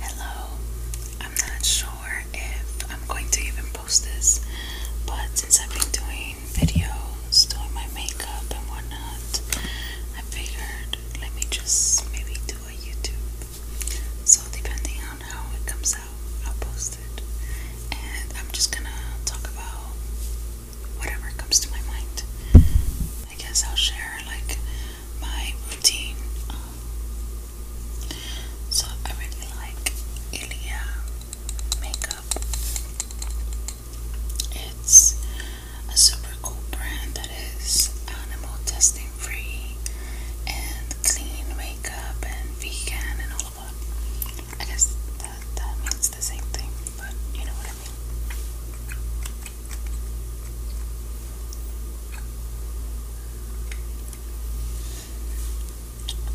Hello, I'm not sure if I'm going to even post this, but since I've been doing videos, doing my makeup and whatnot, I figured let me just maybe do a YouTube. So, depending on how it comes out, I'll post it. And I'm just gonna talk about whatever comes to my mind. I guess I'll share like my routine. Um, so I really like Ilia makeup. It's a super cool brand that is animal testing free and clean makeup and vegan and all of that. I guess that, that means the same thing, but you know what I mean.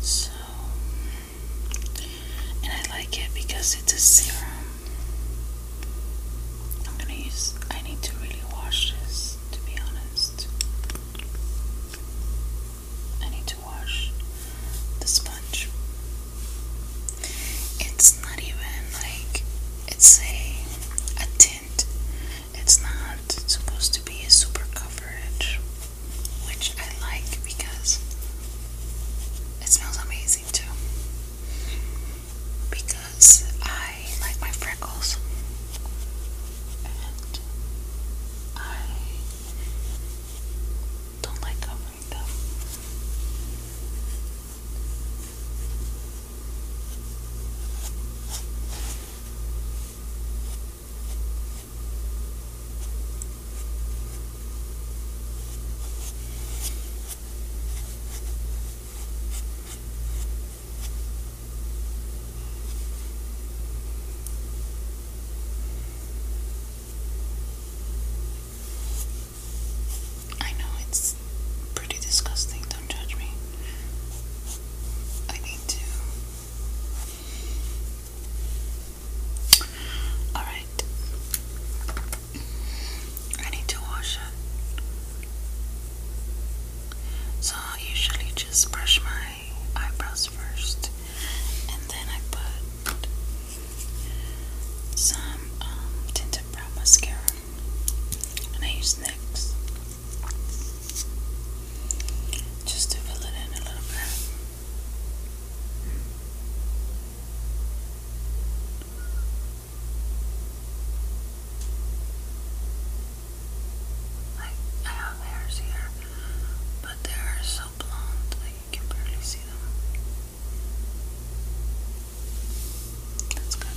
So, and I like it because it's a serum. I'm gonna use, I need to really wash this to be honest. I need to wash the sponge. It's not even like it's a a tint. It's not supposed to be a super coverage, which I like because it smells amazing too. Because I like my freckles. And I don't like covering them. I know it's pretty disgusting. Don't judge me. I need to. Alright. I need to wash it. So I usually just brush my eyebrows first and then I put some um, tinted brow mascara and I use NYX just to fill it in a little bit. Like, I have hairs here, but they are so blonde that you can barely see them. That's good.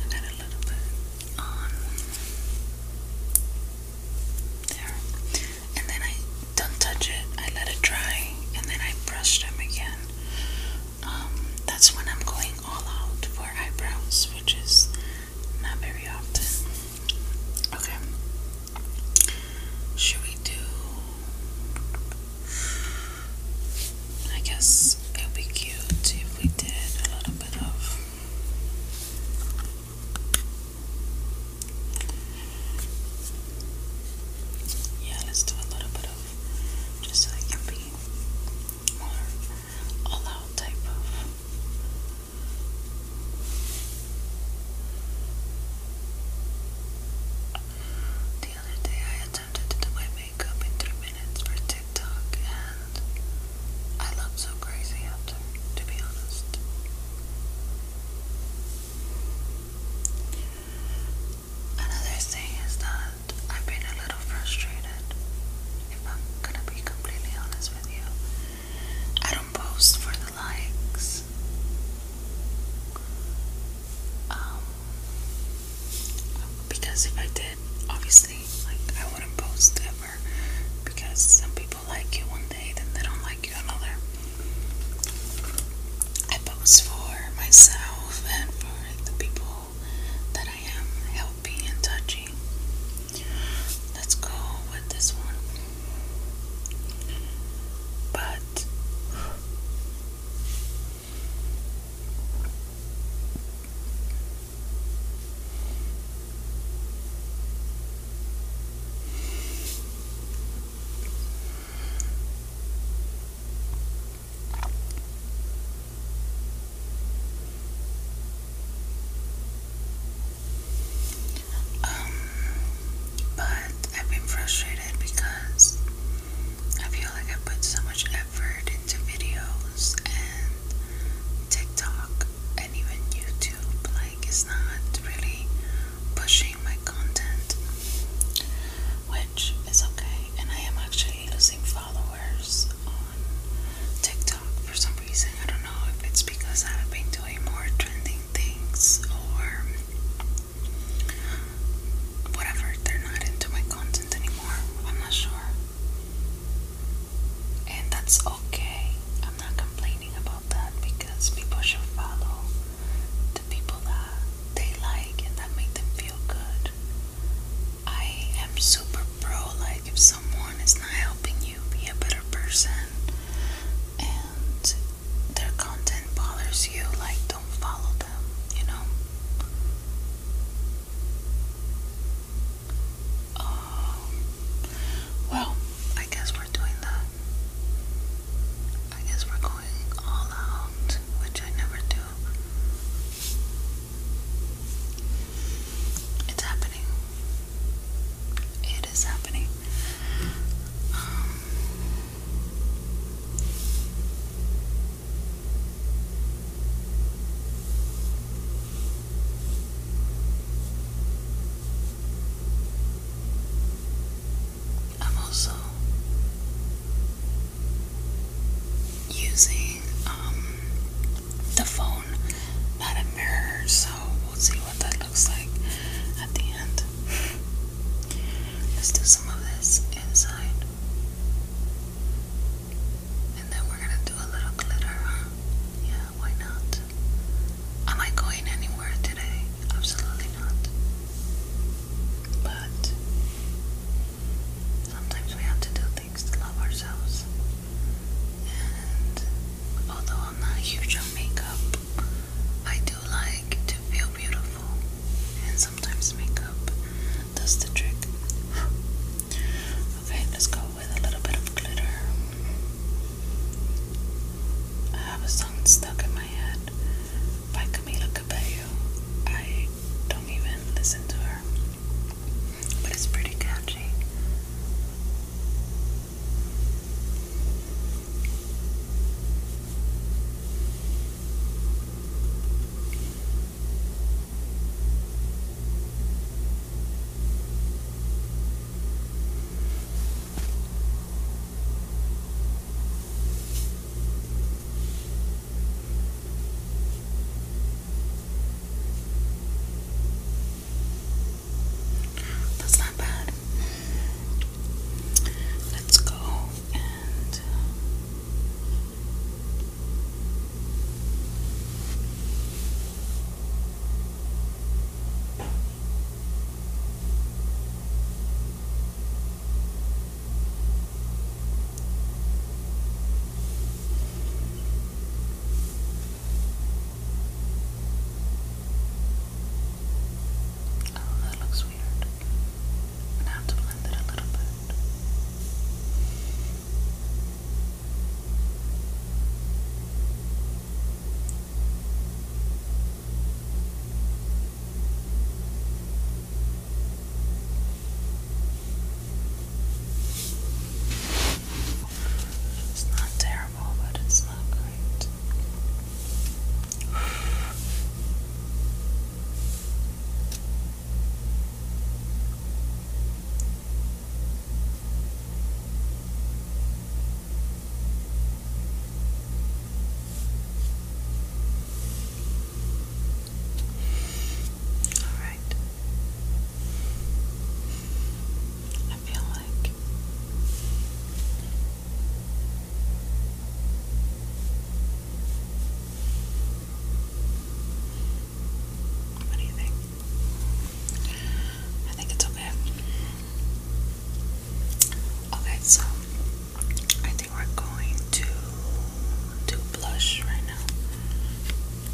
I got a little bit on there, and then I don't touch it. I let it dry, and then I brush them again um, that's when I'm going all out for eyebrows, which is not very often. Okay. Should we do? I guess it would be cute if we did a little bit of. Yeah, let's do a little bit of just so it can be more all out the other day I attempted to do my makeup in three minutes for TikTok and I looked so crazy after, to be honest. Another thing is that I've been a little frustrated, if I'm gonna be completely honest with you. I don't post for the likes. Um, because if I did, obviously, like, I wouldn't post ever. Because some people like you one day, then they don't like you another. I post for myself and for the people that I am helping and touchy. Let's go with this one. But um, but I've been frustrated because I feel like I put so much effort into videos and TikTok and even YouTube. Like, it's not really pushing my content, which okay. And I am actually losing followers on TikTok for some reason. I don't know if it's because I've been doing more trending things or whatever. They're not into my content anymore. I'm not sure. And that's okay. I'm not complaining about that because people should follow the people that they like and that make them feel good. I am super pro. Like, if someone is not helping you be a better person and their content bothers you, like, don't follow them, you know? Um, well, I guess we're doing that. I guess we're going all out, which I never do. It's happening. It is happening. Um, I'm also using um, the phone, not a mirror, so we'll see what that looks like at the end. Let's do some of this inside. And then we're gonna do a little glitter, Yeah, why not? Am I going anywhere today? Absolutely not. But sometimes we have to do love ourselves. And although I'm not huge on makeup, I do like to feel beautiful. And sometimes makeup does the trick. okay, let's go with a little bit of glitter. I have a song stuck in my head by Camila Cabello. I don't even listen to her, but it's pretty catchy. That's not bad. Let's go uh, Oh, that looks weird. I'm gonna have to blend it a little bit. It's not terrible, but it's not great. Alright. I feel like what do you think? I think it's okay. Okay, so I think we're going to too blush right now.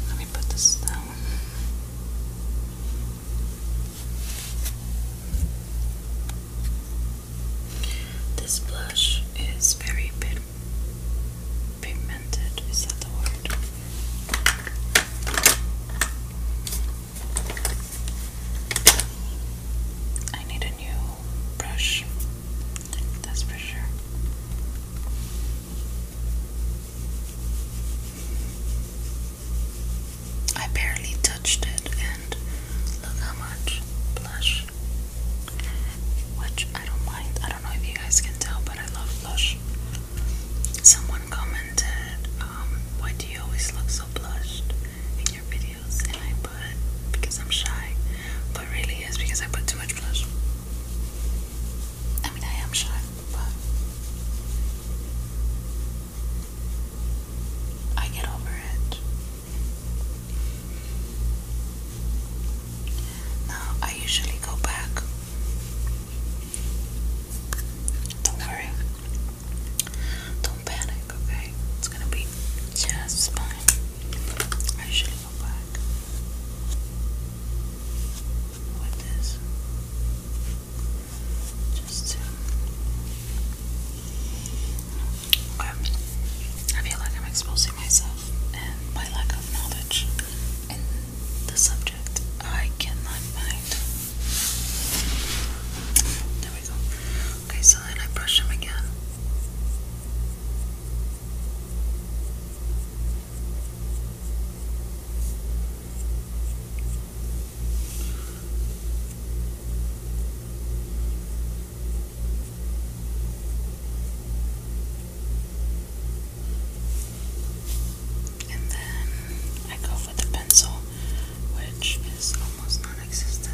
Let me put this down. This blush is very pig pigmented. Is that the word? I need a new brush. That's for sure. I barely touched it, and look how much blush. Which I don't mind. I don't know if you guys can tell, but I love blush. Someone commented, um, why do you always look so blushed in your videos? And I put, because I'm shy. But really, it's because I put too much I mean, I am shy, but I get over it. Now, I usually go back. Don't worry. Don't panic, okay? It's gonna be just fine. I usually beautiful black with this just to um, I feel like I'm exposing myself and my lack of knowledge in the subject I cannot find there we go okay so then I brush them again and then I go with a pencil, which is almost non existent.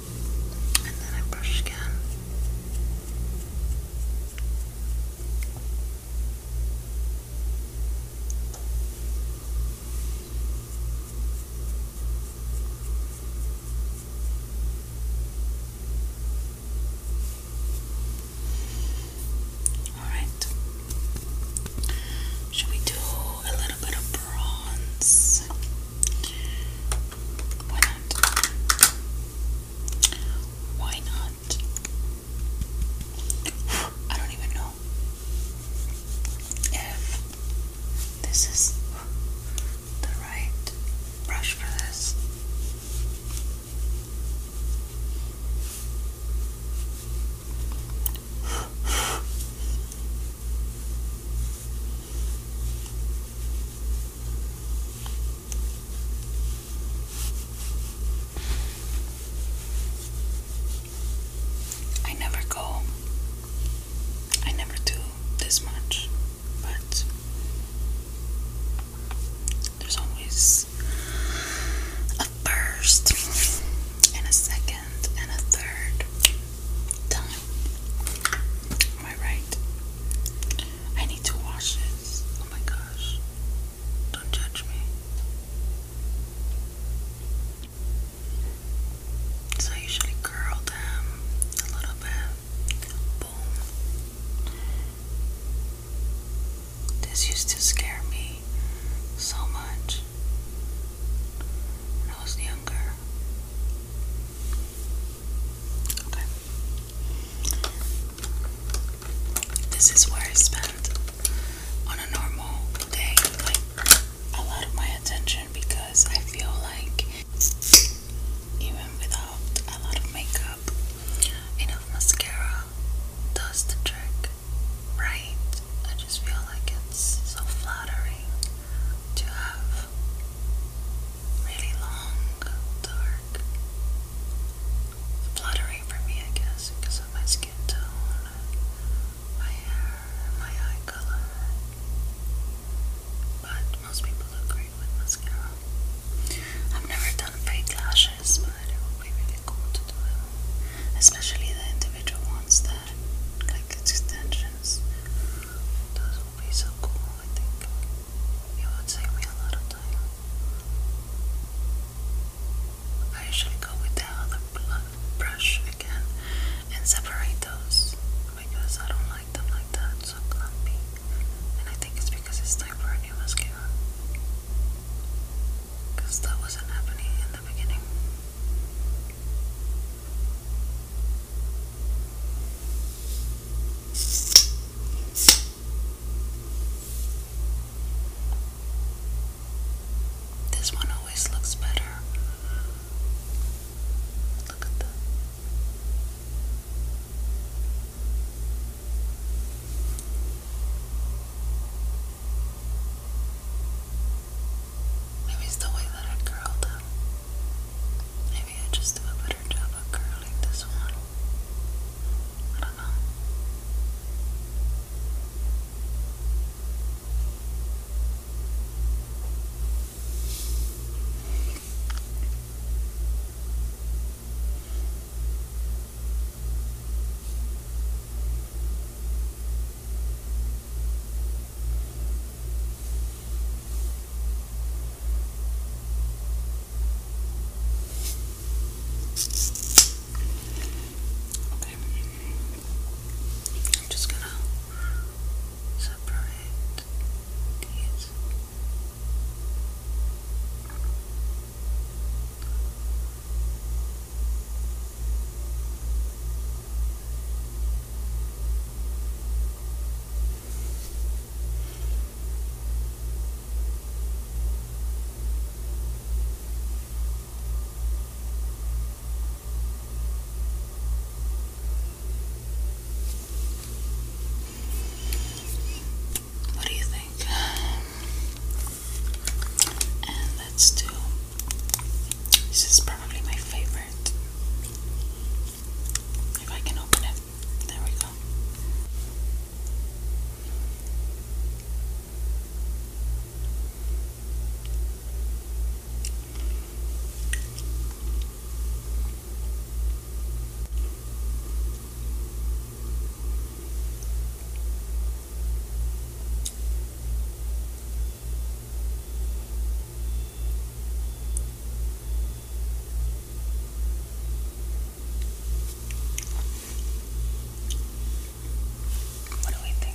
and then I brush again. All right. Should we do a little bit of bronze? Why not? Why not? I don't even know if this is the right brush for this. I never go, I never do this much, but there's always a first, and a second, and a third Am I right? I need to wash this. Oh my gosh. Don't judge me. So I usually curl them a little bit. This used to scare me so much when I was younger. This is where I spend on a normal day a lot of my attention because I feel like even without a lot of makeup, enough mascara does the trick, right? I just feel like it's so flattering to have really long, dark, fluttering for me, I guess, because of my skin tone, my hair, my eye color. But most people look great with mascara. I've never done fake lashes, but it would be really cool to do it, especially the individual ones that like extensions would be so cool, I think. It would save me a lot of time. I usually go with the other brush again and separate those because I don't like them like that, so clumpy. And I think it's because it's time for a new mascara. Because that wasn't happening in the beginning. This one always looks better. Look at that. Maybe it's the way that I curled them maybe I just do a better job of curling this one. I don't know. Okay. I'm just gonna separate these. What do you think? And let's do this is probably my favorite. If I can open it. There we go. What do we think?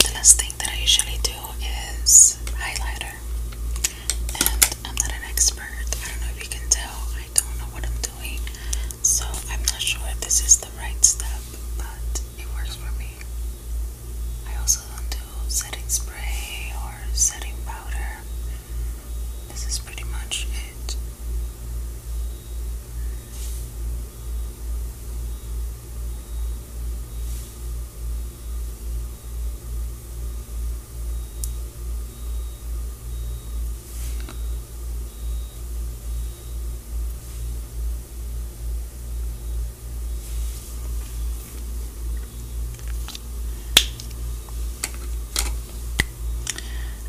the last thing that I usually do is highlighter. And I'm not an expert. I don't know if you can tell. I don't know what I'm doing. So I'm not sure if this is the right step, but it works for me. I also do setting spray or setting powder. This is pretty much it.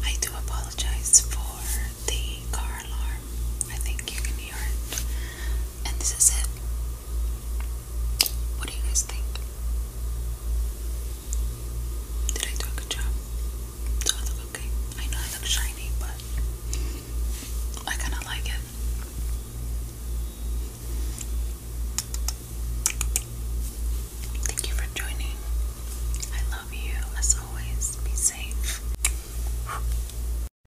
I do apologize for the car alarm. I think you can hear it. And this is it. What do you guys think? Did I do a good job? Do I look okay? I know I look shiny, but I kind of like it. Thank you for joining. I love you as always. Be safe.